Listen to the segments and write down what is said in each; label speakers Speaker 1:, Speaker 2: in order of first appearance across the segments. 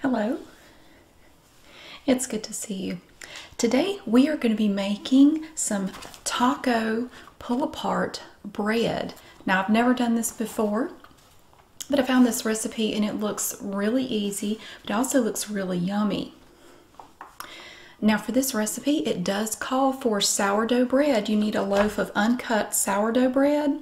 Speaker 1: Hello, it's good to see you. Today we are going to be making some taco pull apart bread. Now I've never done this before, but I found this recipe and it looks really easy, but it also looks really yummy. Now for this recipe, it does call for sourdough bread. You need a loaf of uncut sourdough bread,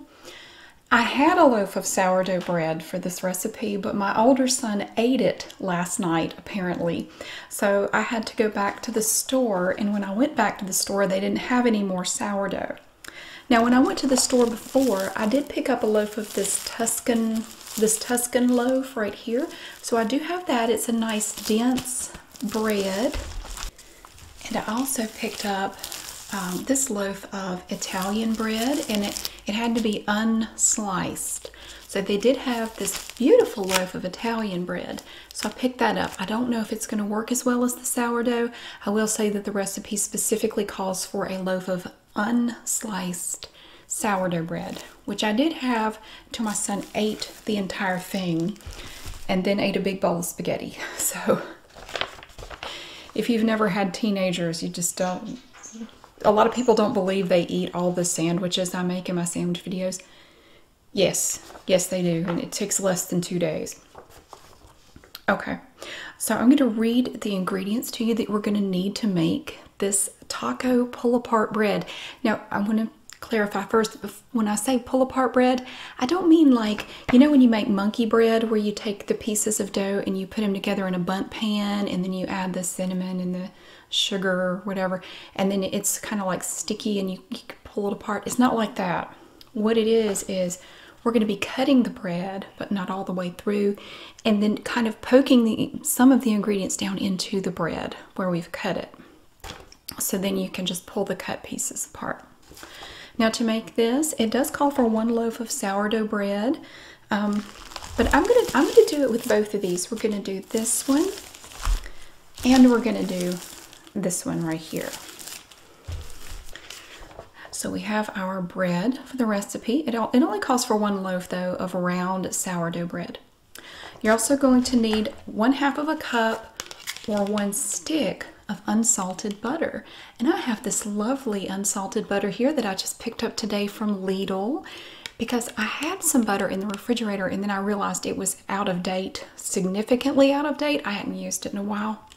Speaker 1: I had a loaf of sourdough bread for this recipe, but my older son ate it last night, apparently. So I had to go back to the store, and when I went back to the store, they didn't have any more sourdough. Now, when I went to the store before, I did pick up a loaf of this Tuscan, this Tuscan loaf right here. So I do have that. It's a nice dense bread. And I also picked up um, this loaf of Italian bread, and it, it had to be unsliced. So they did have this beautiful loaf of Italian bread. So I picked that up. I don't know if it's going to work as well as the sourdough. I will say that the recipe specifically calls for a loaf of unsliced sourdough bread, which I did have till my son ate the entire thing and then ate a big bowl of spaghetti. So if you've never had teenagers, you just don't. A lot of people don't believe they eat all the sandwiches I make in my sandwich videos. Yes, yes, they do, and it takes less than two days. Okay, so I'm going to read the ingredients to you that we're going to need to make this taco pull apart bread. Now, I want to clarify first when I say pull apart bread, I don't mean like you know when you make monkey bread where you take the pieces of dough and you put them together in a bunt pan and then you add the cinnamon and the sugar or whatever and then it's kind of like sticky and you, pull it apart. It's not like that. What it is is we're going to be cutting the bread but not all the way through and then kind of poking the, some of the ingredients down into the bread where we've cut it. So then you can just pull the cut pieces apart. Now to make this, it does call for one loaf of sourdough bread, um, but I'm gonna I'm gonna do it with both of these. We're gonna do this one, and we're gonna do this one right here. So we have our bread for the recipe. It, all it only calls for one loaf though of round sourdough bread. You're also going to need one half of a cup or one stick of unsalted butter. And I have this lovely unsalted butter here that I just picked up today from Lidl because I had some butter in the refrigerator and then I realized it was out of date, significantly out of date. I hadn't used it in a while.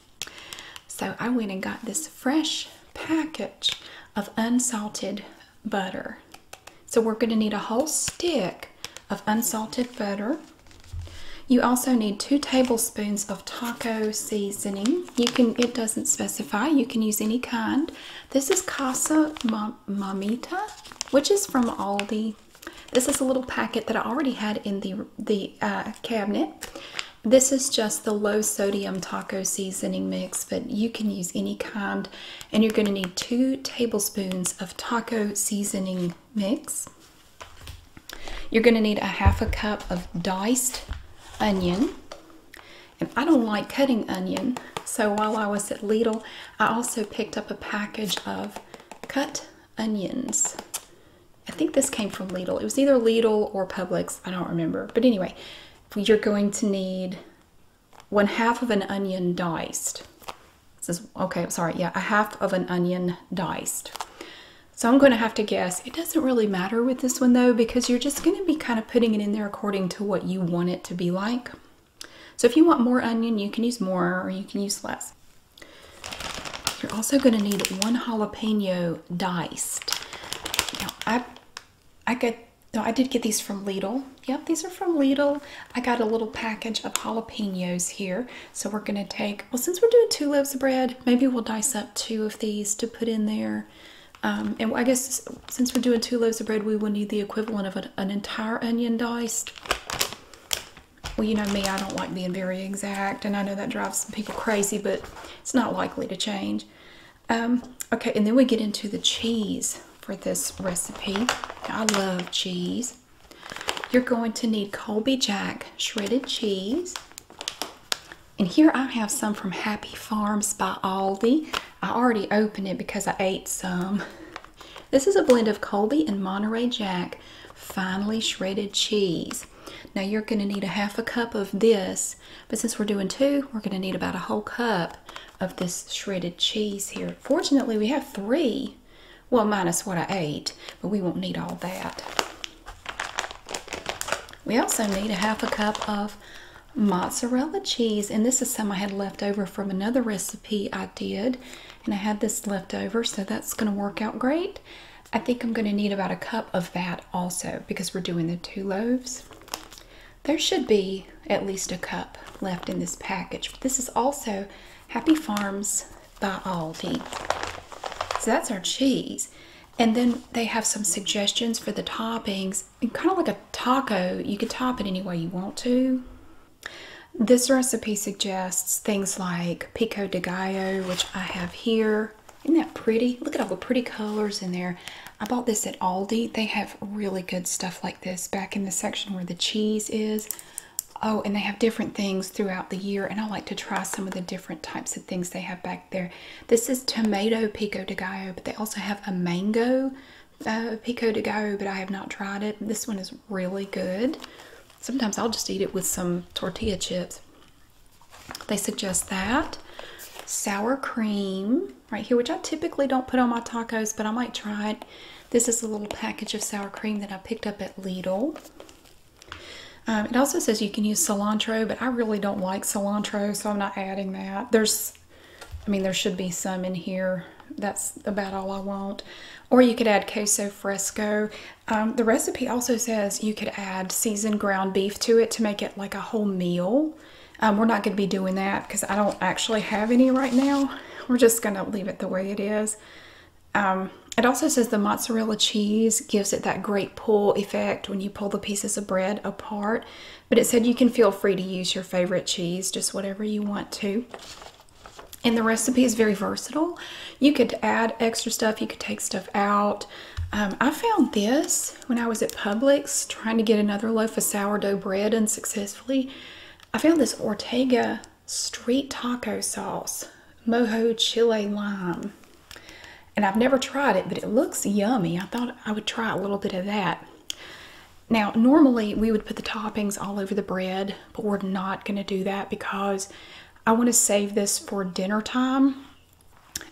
Speaker 1: So I went and got this fresh package of unsalted butter. So we're going to need a whole stick of unsalted butter. You also need two tablespoons of taco seasoning. You can, it doesn't specify, you can use any kind. This is Casa Mamita, which is from Aldi. This is a little packet that I already had in the, the uh, cabinet. This is just the low sodium taco seasoning mix, but you can use any kind. And you're going to need two tablespoons of taco seasoning mix. You're going to need a half a cup of diced onion. And I don't like cutting onion, so while I was at Lidl, I also picked up a package of cut onions. I think this came from Lidl. It was either Lidl or Publix. I don't remember. But anyway, you're going to need one half of an onion diced. This is, okay, I'm sorry. Yeah, a half of an onion diced. So I'm going to have to guess. It doesn't really matter with this one though because you're just going to be kind of putting it in there according to what you want it to be like. So if you want more onion, you can use more or you can use less. You're also going to need one jalapeno diced. Now I, I got, no, I did get these from Lidl. Yep, these are from Lidl. I got a little package of jalapenos here. So we're going to take, well, since we're doing two loaves of bread, maybe we'll dice up two of these to put in there um, and I guess since we're doing two loaves of bread, we will need the equivalent of an, entire onion diced. Well, you know me, I don't like being very exact, and I know that drives some people crazy, but it's not likely to change. Um, okay, and then we get into the cheese for this recipe. I love cheese. You're going to need Colby Jack shredded cheese. And here I have some from Happy Farms by Aldi. I already opened it because I ate some. This is a blend of Colby and Monterey Jack finely shredded cheese. Now you're going to need a half a cup of this, but since we're doing two, we're going to need about a whole cup of this shredded cheese here. Fortunately, we have three, well, minus what I ate, but we won't need all that. We also need a half a cup of mozzarella cheese, and this is some I had left over from another recipe I did, and I had this left over, so that's going to work out great. I think I'm going to need about a cup of that also because we're doing the two loaves. There should be at least a cup left in this package. This is also Happy Farms by Aldi. So that's our cheese. And then they have some suggestions for the toppings. And kind of like a taco, you can top it any way you want to. This recipe suggests things like pico de gallo, which I have here. Isn't that pretty? Look at all the pretty colors in there. I bought this at Aldi. They have really good stuff like this back in the section where the cheese is. Oh, and they have different things throughout the year, and I like to try some of the different types of things they have back there. This is tomato pico de gallo, but they also have a mango uh, pico de gallo, but I have not tried it. This one is really good. Sometimes I'll just eat it with some tortilla chips. They suggest that. Sour cream right here, which I typically don't put on my tacos, but I might try it. This is a little package of sour cream that I picked up at Lidl. Um, it also says you can use cilantro, but I really don't like cilantro, so I'm not adding that. There's, I mean, there should be some in here. That's about all I want. Or you could add queso fresco. Um, the recipe also says you could add seasoned ground beef to it to make it like a whole meal. Um, we're not going to be doing that because I don't actually have any right now. We're just going to leave it the way it is. it also says the mozzarella cheese gives it that great pull effect when you pull the pieces of bread apart. But it said you can feel free to use your favorite cheese, just whatever you want to. And the recipe is very versatile. You could add extra stuff, you could take stuff out. Um, I found this when I was at Publix trying to get another loaf of sourdough bread unsuccessfully. I found this Ortega street taco sauce, mojo chile lime and I've never tried it, but it looks yummy. I thought I would try a little bit of that. Now, normally we would put the toppings all over the bread, but we're not going to do that because I want to save this for dinner time.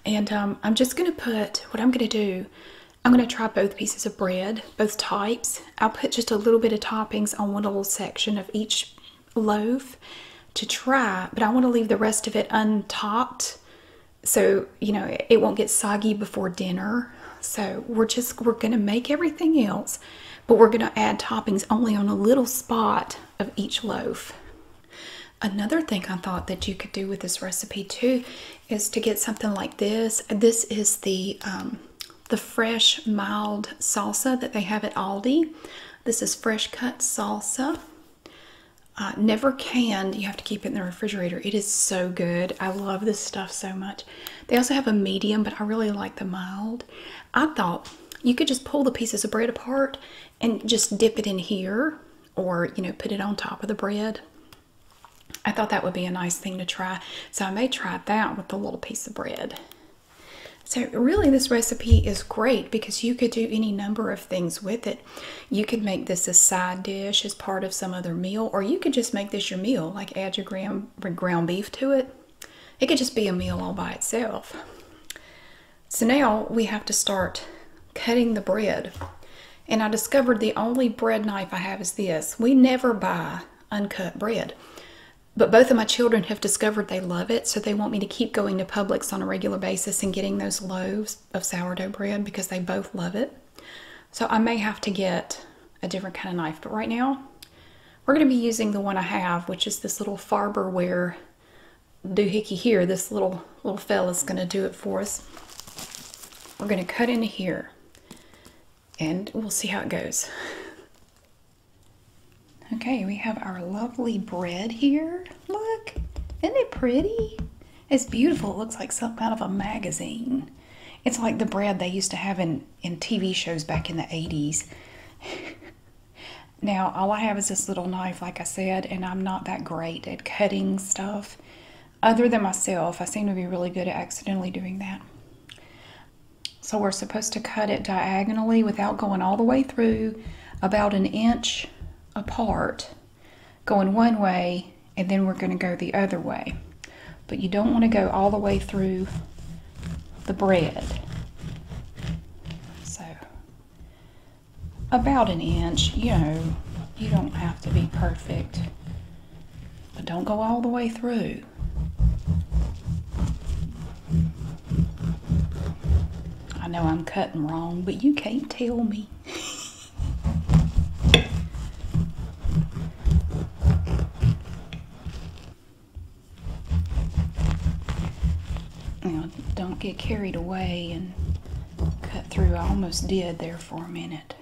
Speaker 1: And um, I'm just going to put, what I'm going to do, I'm going to try both pieces of bread, both types. I'll put just a little bit of toppings on one little section of each loaf to try, but I want to leave the rest of it untopped so you know it won't get soggy before dinner so we're just we're going to make everything else but we're going to add toppings only on a little spot of each loaf another thing i thought that you could do with this recipe too is to get something like this this is the um, the fresh mild salsa that they have at aldi this is fresh cut salsa uh, never canned. You have to keep it in the refrigerator. It is so good. I love this stuff so much. They also have a medium, but I really like the mild. I thought you could just pull the pieces of bread apart and just dip it in here or, you know, put it on top of the bread. I thought that would be a nice thing to try. So I may try that with a little piece of bread. So really this recipe is great because you could do any number of things with it. You could make this a side dish as part of some other meal, or you could just make this your meal, like add your ground, ground beef to it. It could just be a meal all by itself. So now we have to start cutting the bread. And I discovered the only bread knife I have is this. We never buy uncut bread. But both of my children have discovered they love it, so they want me to keep going to Publix on a regular basis and getting those loaves of sourdough bread because they both love it. So I may have to get a different kind of knife. But right now, we're going to be using the one I have, which is this little Farberware doohickey here. This little, little fella's going to do it for us. We're going to cut in here and we'll see how it goes. Okay, we have our lovely bread here. Look, isn't it pretty? It's beautiful. It looks like some kind of a magazine. It's like the bread they used to have in, in TV shows back in the 80s. now, all I have is this little knife, like I said, and I'm not that great at cutting stuff. Other than myself, I seem to be really good at accidentally doing that. So we're supposed to cut it diagonally without going all the way through, about an inch apart going one way and then we're going to go the other way. But you don't want to go all the way through the bread. So about an inch, you know, you don't have to be perfect. But don't go all the way through. I know I'm cutting wrong, but you can't tell me. now, don't get carried away and cut through. I almost did there for a minute.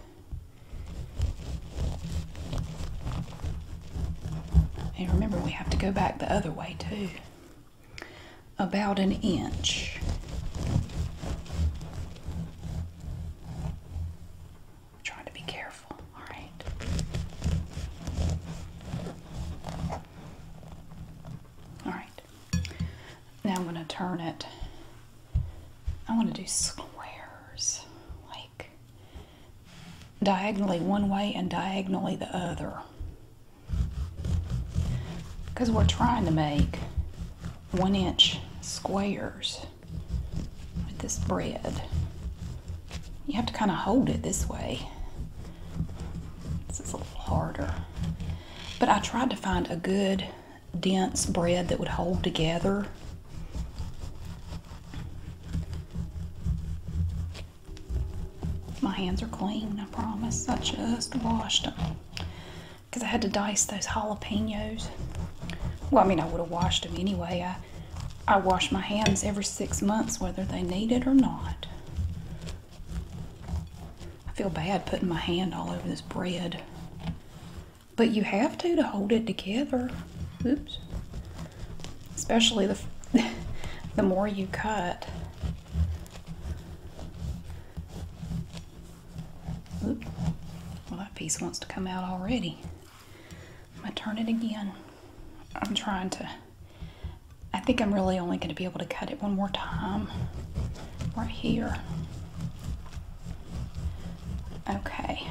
Speaker 1: And remember, we have to go back the other way too about an inch. Trying to be careful, all right. All right. Now I'm going to turn it. I want to do squares, like diagonally one way and diagonally the other because we're trying to make one inch squares with this bread. You have to kind of hold it this way. This is a little harder. But I tried to find a good dense bread that would hold together. My hands are clean, I promise. I just washed them because I had to dice those jalapenos. Well, I mean, I would have washed them anyway. I I wash my hands every six months, whether they need it or not. I feel bad putting my hand all over this bread, but you have to to hold it together. Oops. Especially the the more you cut. Well, that piece wants to come out already. I'm going to turn it again. I'm trying to... I think I'm really only going to be able to cut it one more time. Right here. Okay.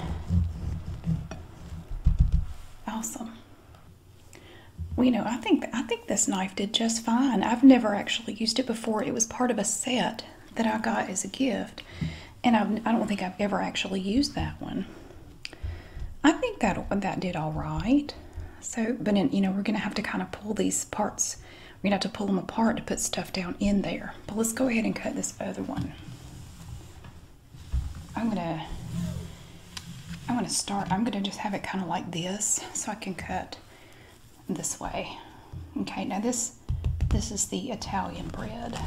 Speaker 1: Awesome. Well, you know, I think I think this knife did just fine. I've never actually used it before. It was part of a set that I got as a gift, and I've, I do not think I've ever actually used that one. I think that that did all right. So, but you know, we're going to have to kind of pull these parts. We're going to have to pull them apart to put stuff down in there. But let's go ahead and cut this other one. I'm going to I'm going to start, I'm going to just have it kind of like this so I can cut this way. Okay, now this this is the Italian bread.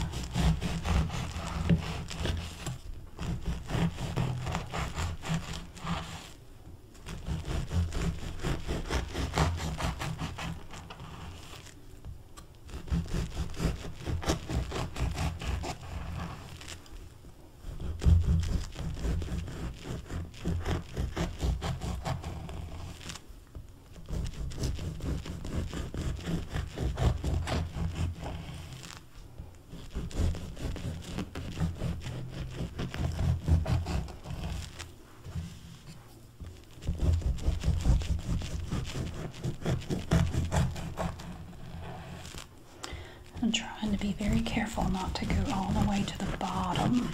Speaker 1: I'm trying to be very careful not to go all the way to the bottom.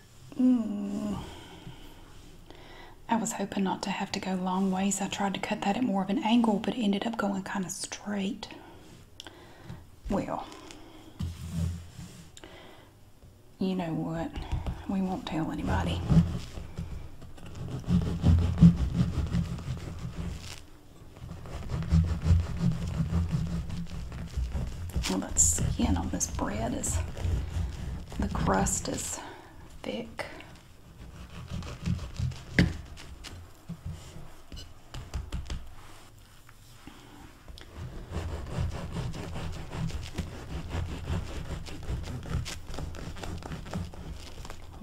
Speaker 1: I was hoping not to have to go long ways. I tried to cut that at more of an angle, but it ended up going kind of straight. Well, you know what? We won't tell anybody. Well, that skin on this bread is the crust is thick.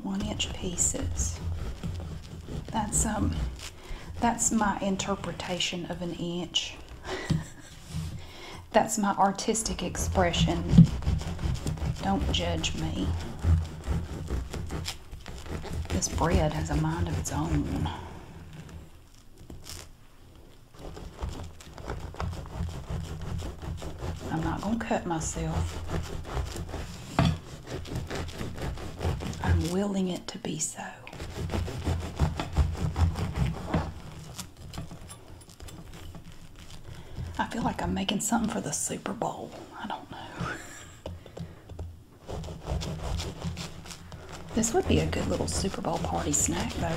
Speaker 1: One inch pieces. That's um that's my interpretation of an inch. That's my artistic expression. Don't judge me. This bread has a mind of its own. I'm not going to cut myself. I'm willing it to be so. I feel like I'm making something for the Super Bowl. I don't know. this would be a good little Super Bowl party snack, though.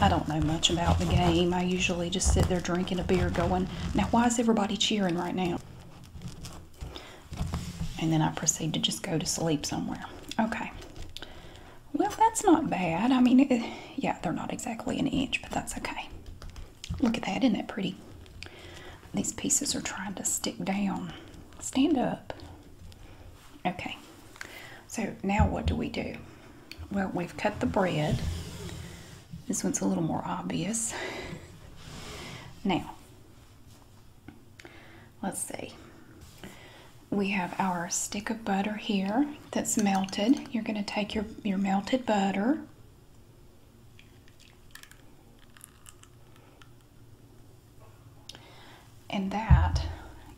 Speaker 1: I don't know much about the game. I usually just sit there drinking a beer going, now why is everybody cheering right now? and then I proceed to just go to sleep somewhere. Okay. Well, that's not bad. I mean, yeah, they're not exactly an inch, but that's okay. Look at that, isn't that pretty? These pieces are trying to stick down. Stand up. Okay. So now what do we do? Well, we've cut the bread. This one's a little more obvious. Now, let's see. We have our stick of butter here that's melted. You're going to take your, your melted butter. And that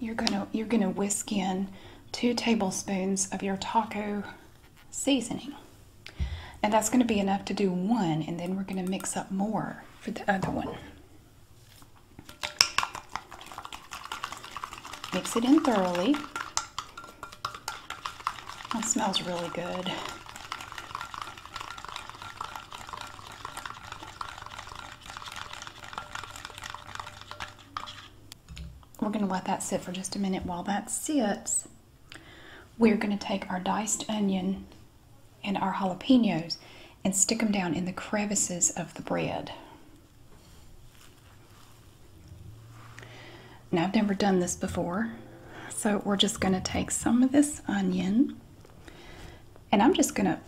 Speaker 1: you're going to you're going to whisk in 2 tablespoons of your taco seasoning. And that's going to be enough to do one, and then we're going to mix up more for the other one. Mix it in thoroughly. That smells really good. We're going to let that sit for just a minute while that sits. We're going to take our diced onion and our jalapenos and stick them down in the crevices of the bread. Now, I've never done this before, so we're just going to take some of this onion and I'm just going to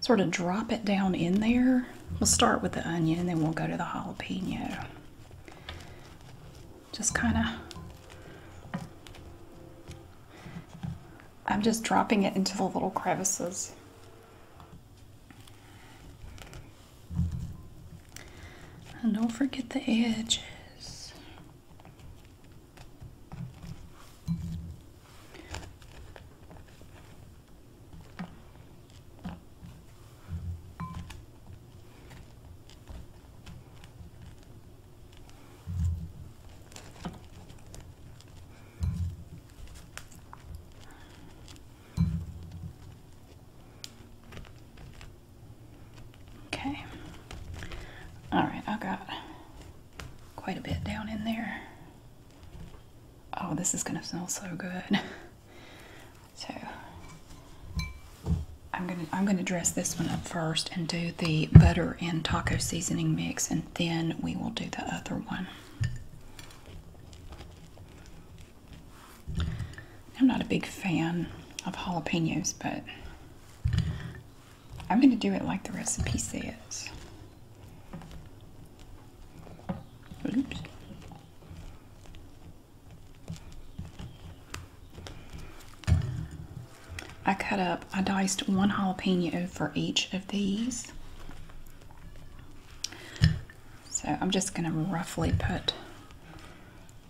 Speaker 1: sort of drop it down in there. We'll start with the onion and then we'll go to the jalapeno just kind of, I'm just dropping it into the little crevices. And don't forget the edges. Okay. All right, I got quite a bit down in there. Oh, this is gonna smell so good. So I'm gonna I'm gonna dress this one up first and do the butter and taco seasoning mix, and then we will do the other one. I'm not a big fan of jalapenos, but I'm gonna do it like the recipe says. Oops. I cut up, I diced one jalapeno for each of these. So I'm just going to roughly put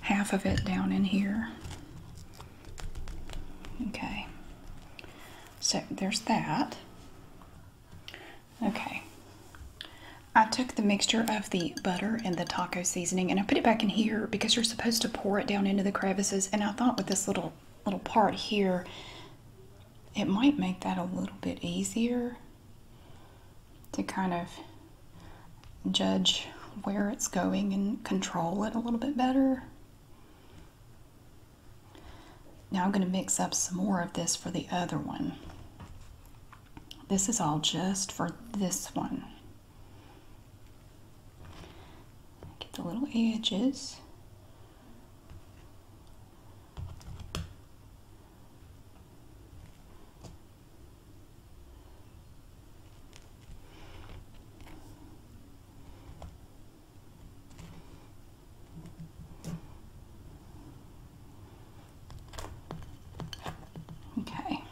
Speaker 1: half of it down in here. Okay. So there's that. Okay. I took the mixture of the butter and the taco seasoning, and I put it back in here because you're supposed to pour it down into the crevices. And I thought with this little little part here, it might make that a little bit easier to kind of judge where it's going and control it a little bit better. Now I'm going to mix up some more of this for the other one. This is all just for this one. Get the little edges. Okay,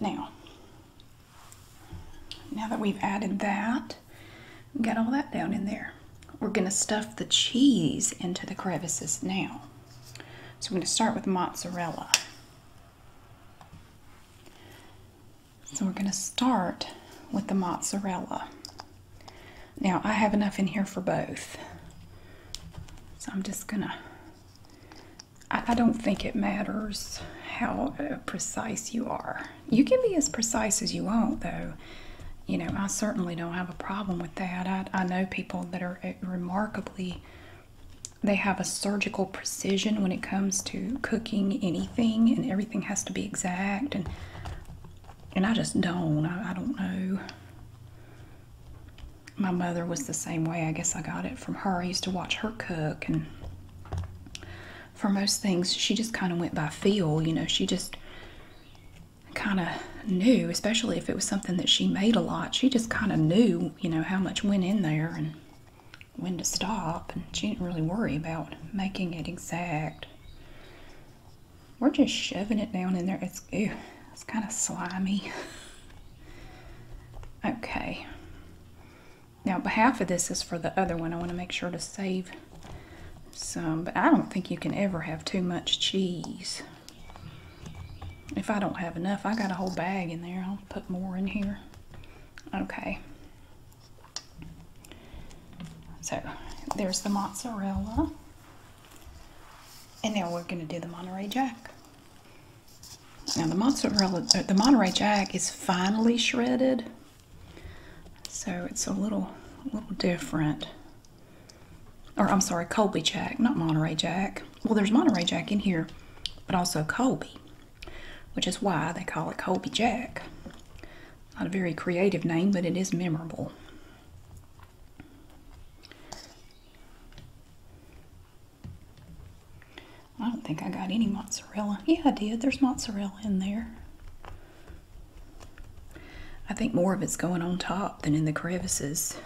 Speaker 1: now, now that we've added that, got all that down in there. We're going to stuff the cheese into the crevices now. So we're going to start with mozzarella. So we're going to start with the mozzarella. Now I have enough in here for both. So I'm just going to I don't think it matters how uh, precise you are. You can be as precise as you want, though. You know, I certainly don't have a problem with that. I, I know people that are uh, remarkably, they have a surgical precision when it comes to cooking anything, and everything has to be exact. And and I just don't. I, don't know my mother was the same way. I guess I got it from her. I used to watch her cook, and for most things, she just kind of went by feel. You know, she just kind of knew, especially if it was something that she made a lot. She just kind of knew, you know, how much went in there and when to stop, and she didn't really worry about making it exact. We're just shoving it down in there. It's ew, it's kind of slimy. Okay. Now, half of this is for the other one. I want to make sure to save some, but I don't think you can ever have too much cheese. If I don't have enough, I got a whole bag in there. I'll put more in here. Okay. So, there's the mozzarella. And now we're going to do the Monterey Jack. Now the mozzarella, uh, the Monterey Jack is finely shredded, so it's a little, a little different. Or I'm sorry, Colby Jack, not Monterey Jack. Well, there's Monterey Jack in here, but also Colby, which is why they call it Colby Jack. Not a very creative name, but it is memorable. I don't think I got any mozzarella. Yeah, I did. There's mozzarella in there. I think more of it's going on top than in the crevices.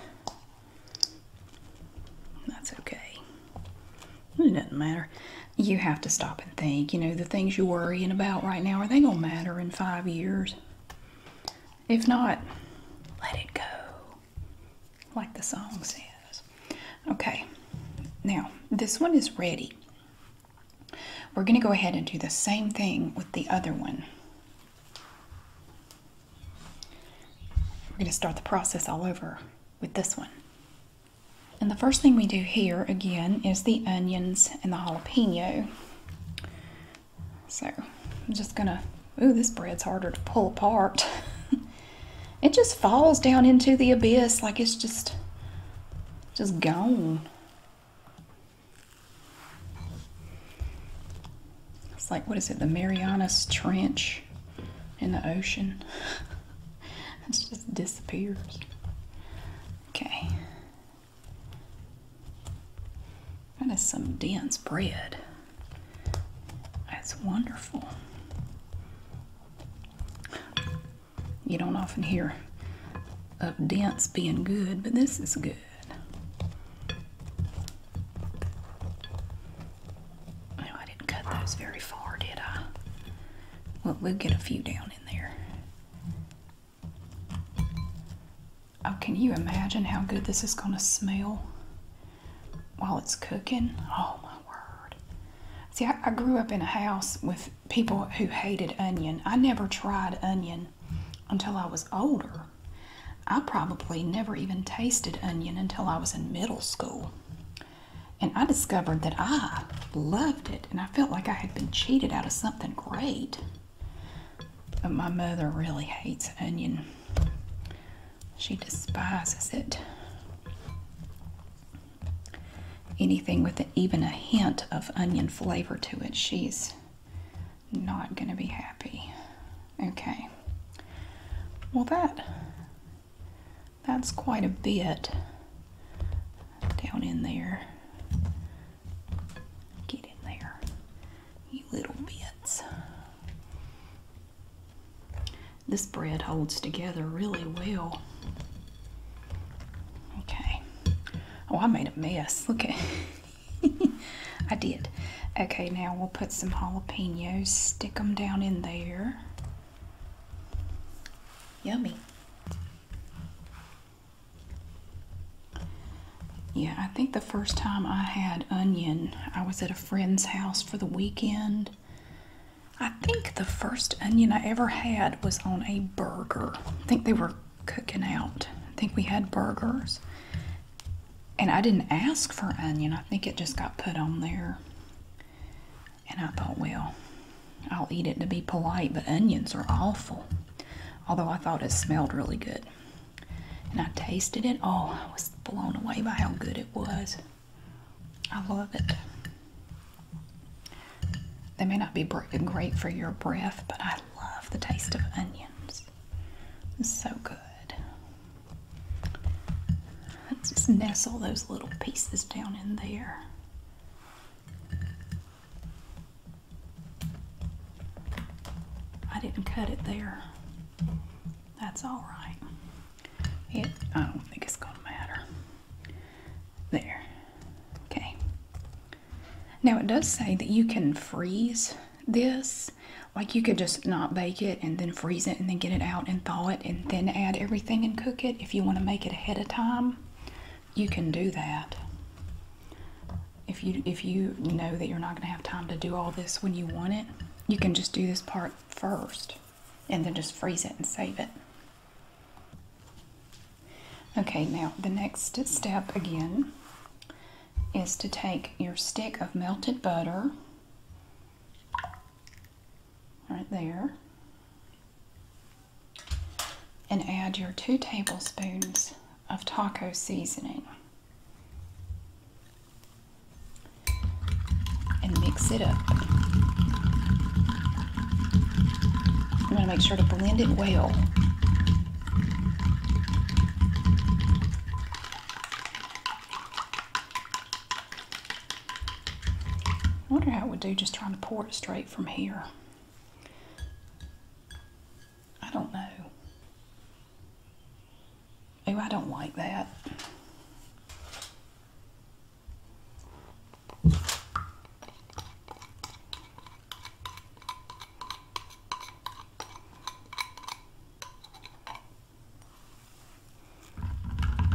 Speaker 1: That's okay. It doesn't matter. You have to stop and think. You know, the things you're worrying about right now, are they going to matter in five years? If not, let it go like the song says. Okay, now this one is ready. We're going to go ahead and do the same thing with the other one. We're going to start the process all over with this one. And the first thing we do here again is the onions and the jalapeno. So I'm just going to Ooh, this bread's harder to pull apart. it just falls down into the abyss like it's just, just gone. It's like, what is it, the Marianas Trench in the ocean? it just disappears. Okay. That is some dense bread. That's wonderful. You don't often hear of dents being good, but this is good. No, I didn't cut those very far, did I? Well, we'll get a few down in there. Oh, can you imagine how good this is going to smell? while it's cooking. Oh my word. See, I, I grew up in a house with people who hated onion. I never tried onion until I was older. I probably never even tasted onion until I was in middle school. And I discovered that I loved it, and I felt like I had been cheated out of something great. But my mother really hates onion. She despises it. Anything with even a hint of onion flavor to it, she's not going to be happy. Okay. Well, that that's quite a bit down in there. Get in there, you little bits. This bread holds together really well. Okay. Oh, I made a mess. Look at I did. Okay, now we'll put some jalapenos, stick them down in there. Yummy. Yeah, I think the first time I had onion, I was at a friend's house for the weekend I think the first onion I ever had was on a burger. I think they were cooking out. I think we had burgers. And I didn't ask for onion. I think it just got put on there. And I thought, well, I'll eat it to be polite, but onions are awful. Although I thought it smelled really good. And I tasted it. Oh, I was blown away by how good it was. I love it. They may not be great for your breath, but I love the taste of onions. It's so good. Let's just nestle those little pieces down in there. I didn't cut it there. That's all right. It, I don't think it's going to matter. There. Okay. Now it does say that you can freeze this. Like you could just not bake it and then freeze it and then get it out and thaw it and then add everything and cook it. If you want to make it ahead of time, you can do that. If you if you know that you're not going to have time to do all this when you want it, you can just do this part first and then just freeze it and save it. Okay, now the next step again is to take your stick of melted butter right there and add your two tablespoons of taco seasoning and mix it up. I'm going to make sure to blend it well. I wonder how it would do just trying to pour it straight from here. I don't know. Oh, I don't like that.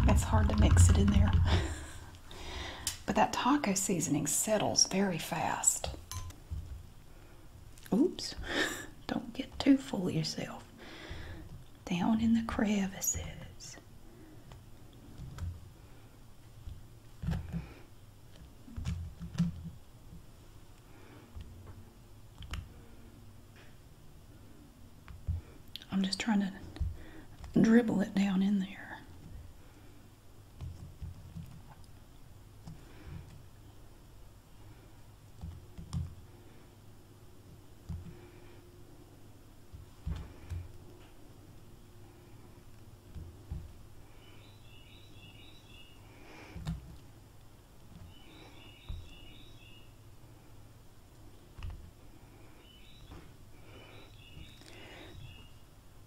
Speaker 1: It's hard to mix it in there. but that taco seasoning settles very fast. Oops, don't get too full yourself down in the crevices. I'm just trying to dribble it down in there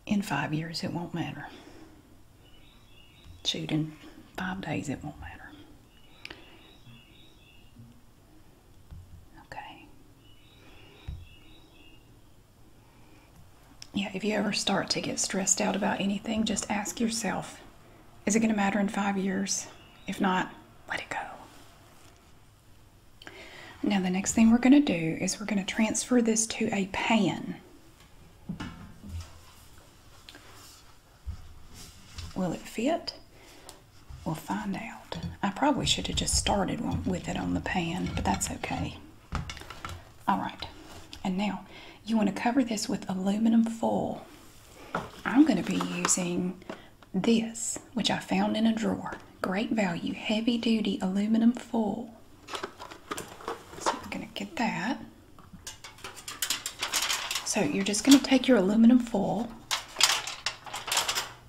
Speaker 1: in five years it won't matter. Shoot, in five days it won't matter. Okay. Yeah, if you ever start to get stressed out about anything, just ask yourself is it going to matter in five years? If not, let it go. Now, the next thing we're going to do is we're going to transfer this to a pan. Will it fit? We'll find out. I probably should have just started with it on the pan, but that's okay. All right, and now you want to cover this with aluminum foil. I'm going to be using this, which I found in a drawer. Great value, heavy duty aluminum foil. So I'm going to get that. So you're just going to take your aluminum foil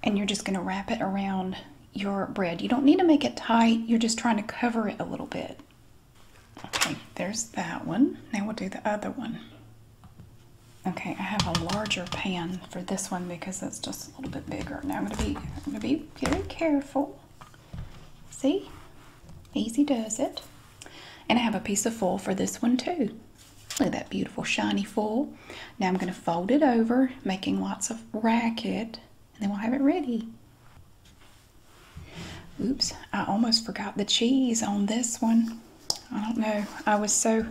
Speaker 1: and you're just going to wrap it around your bread. You don't need to make it tight, you're just trying to cover it a little bit. Okay, there's that one. Now we'll do the other one. Okay, I have a larger pan for this one because it's just a little bit bigger. Now I'm gonna be I'm gonna be very careful. See? Easy does it. And I have a piece of foil for this one too. Look at that beautiful shiny foil. Now I'm going to fold it over, making lots of racket, and then we'll have it ready. Oops, I almost forgot the cheese on this one. I don't know, I was so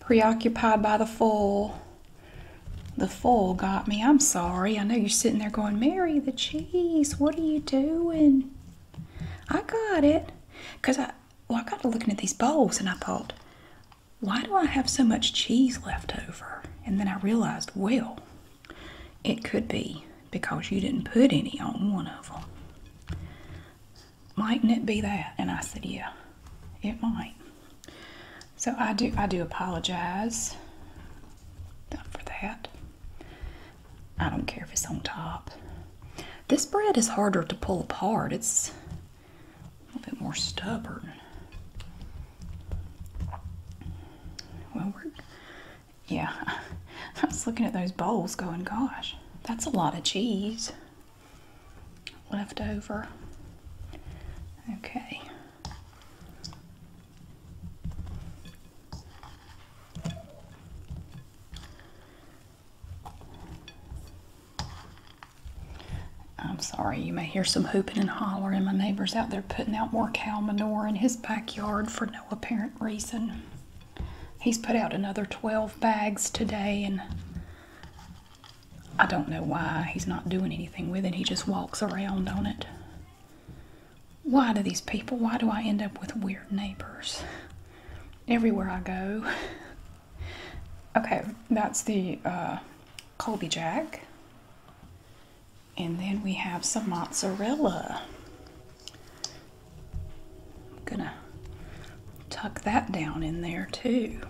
Speaker 1: preoccupied by the foil. The foil got me. I'm sorry. I know you're sitting there going, Mary, the cheese, what are you doing? I got it. Because I, well, I got to looking at these bowls and I thought, why do I have so much cheese left over? And then I realized, well, it could be because you didn't put any on one of them. Mightn't it be that? And I said, yeah, it might. So I do, I do apologize for that. I don't care if it's on top. This bread is harder to pull apart. It's a little bit more stubborn. Well, we're, yeah, I was looking at those bowls going, gosh, that's a lot of cheese left over. Okay. I'm sorry, you may hear some hooping and hollering. My neighbor's out there putting out more cow manure in his backyard for no apparent reason. He's put out another 12 bags today, and I don't know why he's not doing anything with it. He just walks around on it. Why do these people, why do I end up with weird neighbors? Everywhere I go, Okay, that's the uh, Colby Jack. And then we have some mozzarella. I'm gonna tuck that down in there too.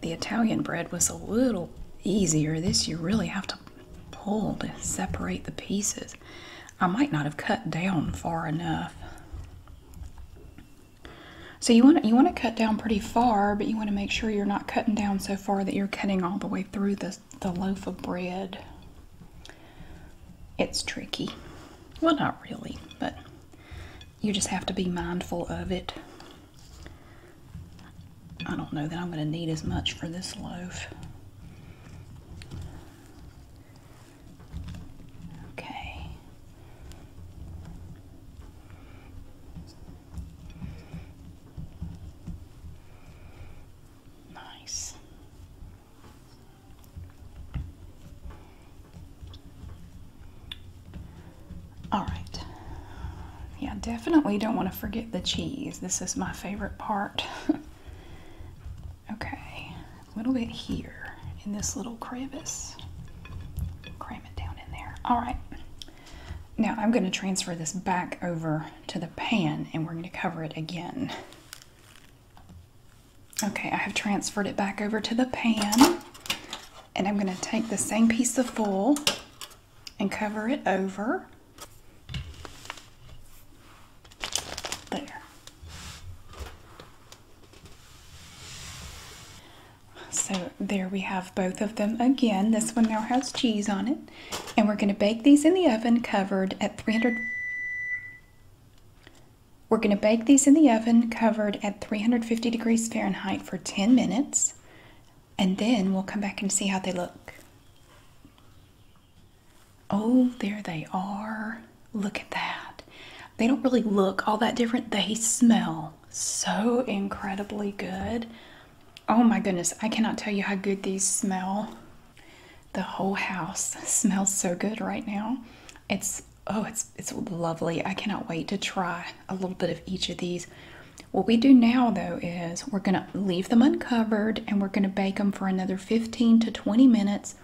Speaker 1: The Italian bread was a little easier. This you really have to pull to separate the pieces. I might not have cut down far enough. So you want you want to cut down pretty far, but you want to make sure you're not cutting down so far that you're cutting all the way through the, the loaf of bread. It's tricky. Well, not really, but you just have to be mindful of it. I don't know that I'm going to need as much for this loaf. Okay. Nice. All right. Yeah, definitely don't want to forget the cheese. This is my favorite part. Okay, a little bit here in this little crevice. Cram it down in there. All right. Now I'm going to transfer this back over to the pan and we're going to cover it again. Okay, I have transferred it back over to the pan and I'm going to take the same piece of foil and cover it over. There. So there we have both of them again. This one now has cheese on it. And we're going to bake these in the oven covered at 300... We're going to bake these in the oven covered at 350 degrees Fahrenheit for 10 minutes. And then we'll come back and see how they look. Oh, there they are. Look at that. They don't really look all that different. They smell so incredibly good. Oh my goodness, I cannot tell you how good these smell. The whole house smells so good right now. It's oh, it's it's lovely. I cannot wait to try a little bit of each of these. What we do now though is we're going to leave them uncovered and we're going to bake them for another 15 to 20 minutes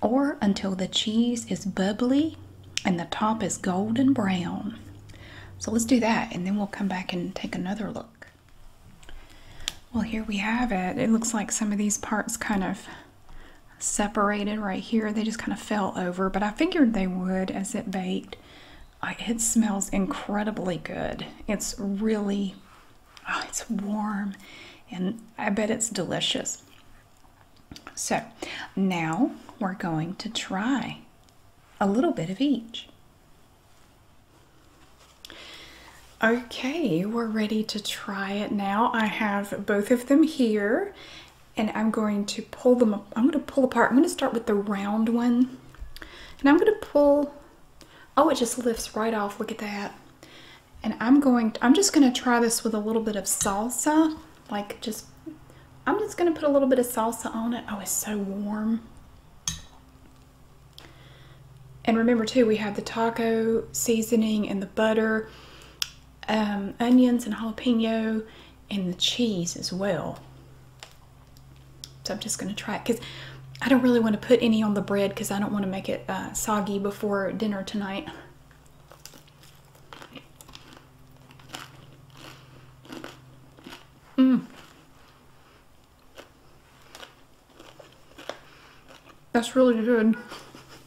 Speaker 1: or until the cheese is bubbly and the top is golden brown. So let's do that and then we'll come back and take another look. Well, here we have it. It looks like some of these parts kind of separated right here. They just kind of fell over, but I figured they would as it baked. It smells incredibly good. It's really Oh, it's warm and I bet it's delicious. So now we're going to try a little bit of each. Okay, we're ready to try it now. I have both of them here and I'm going to pull them, I'm going to pull apart. I'm going to start with the round one and I'm going to pull Oh, it just lifts right off. Look at that. And I'm going, I'm just going to try this with a little bit of salsa. Like just, I'm just going to put a little bit of salsa on it. Oh, it's so warm. And remember too, we have the taco seasoning and the butter, um, onions and jalapeno, and the cheese as well. So I'm just going to try it because I don't really want to put any on the bread because I don't want to make it uh, soggy before dinner tonight. Mmm. That's really good.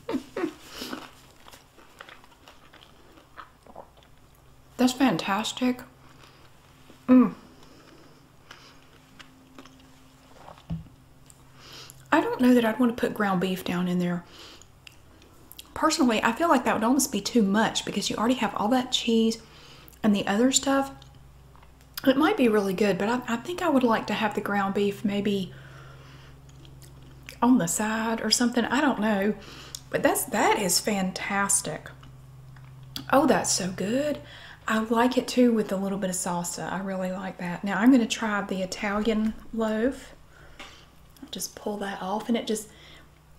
Speaker 1: That's fantastic. Mmm. I don't know that I'd want to put ground beef down in there. Personally, I feel like that would almost be too much because you already have all that cheese and the other stuff. It might be really good, but I, think I would like to have the ground beef maybe on the side or something. I don't know. But that's that is fantastic. Oh, that's so good. I like it too with a little bit of salsa. I really like that. Now I'm going to try the Italian loaf. Just pull that off and it just,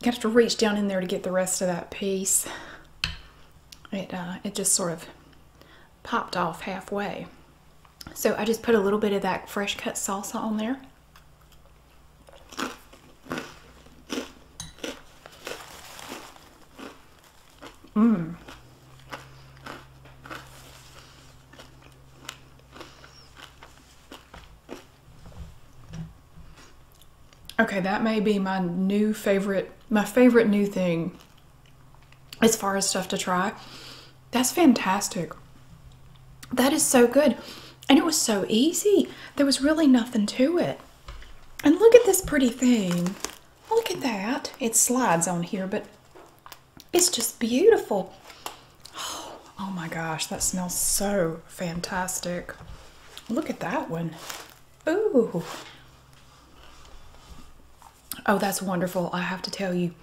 Speaker 1: you have to reach down in there to get the rest of that piece. It, uh, it just sort of popped off halfway. So I just put a little bit of that fresh cut salsa on there. Mm. Okay, that may be my new favorite, my favorite new thing as far as stuff to try. That's fantastic. That is so good. And it was so easy. There was really nothing to it. And look at this pretty thing. Look at that. It slides on here, but it's just beautiful. Oh, my gosh, that smells so fantastic. Look at that one. Ooh. Oh, that's wonderful. I have to tell you,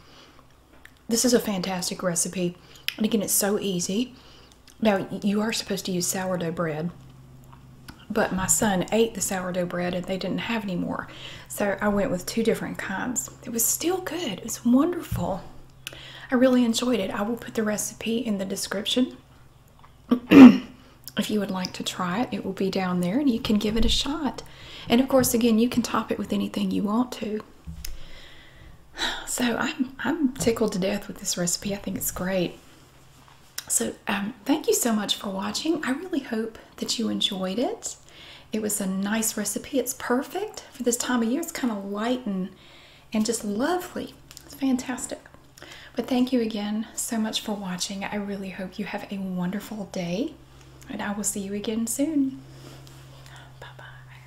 Speaker 1: this is a fantastic recipe. And again, it's so easy. Now, you are supposed to use sourdough bread but my son ate the sourdough bread and they didn't have any more. So I went with two different kinds. It was still good. It was wonderful. I really enjoyed it. I will put the recipe in the description. if you would like to try it, it will be down there and you can give it a shot. And of course, again, you can top it with anything you want to. So I'm, I'm tickled to death with this recipe. I think it's great. So, um, thank you so much for watching. I really hope that you enjoyed it. It was a nice recipe. It's perfect for this time of year. It's kind of light and, and just lovely. It's fantastic. But thank you again so much for watching. I really hope you have a wonderful day, and I will see you again soon. Bye bye.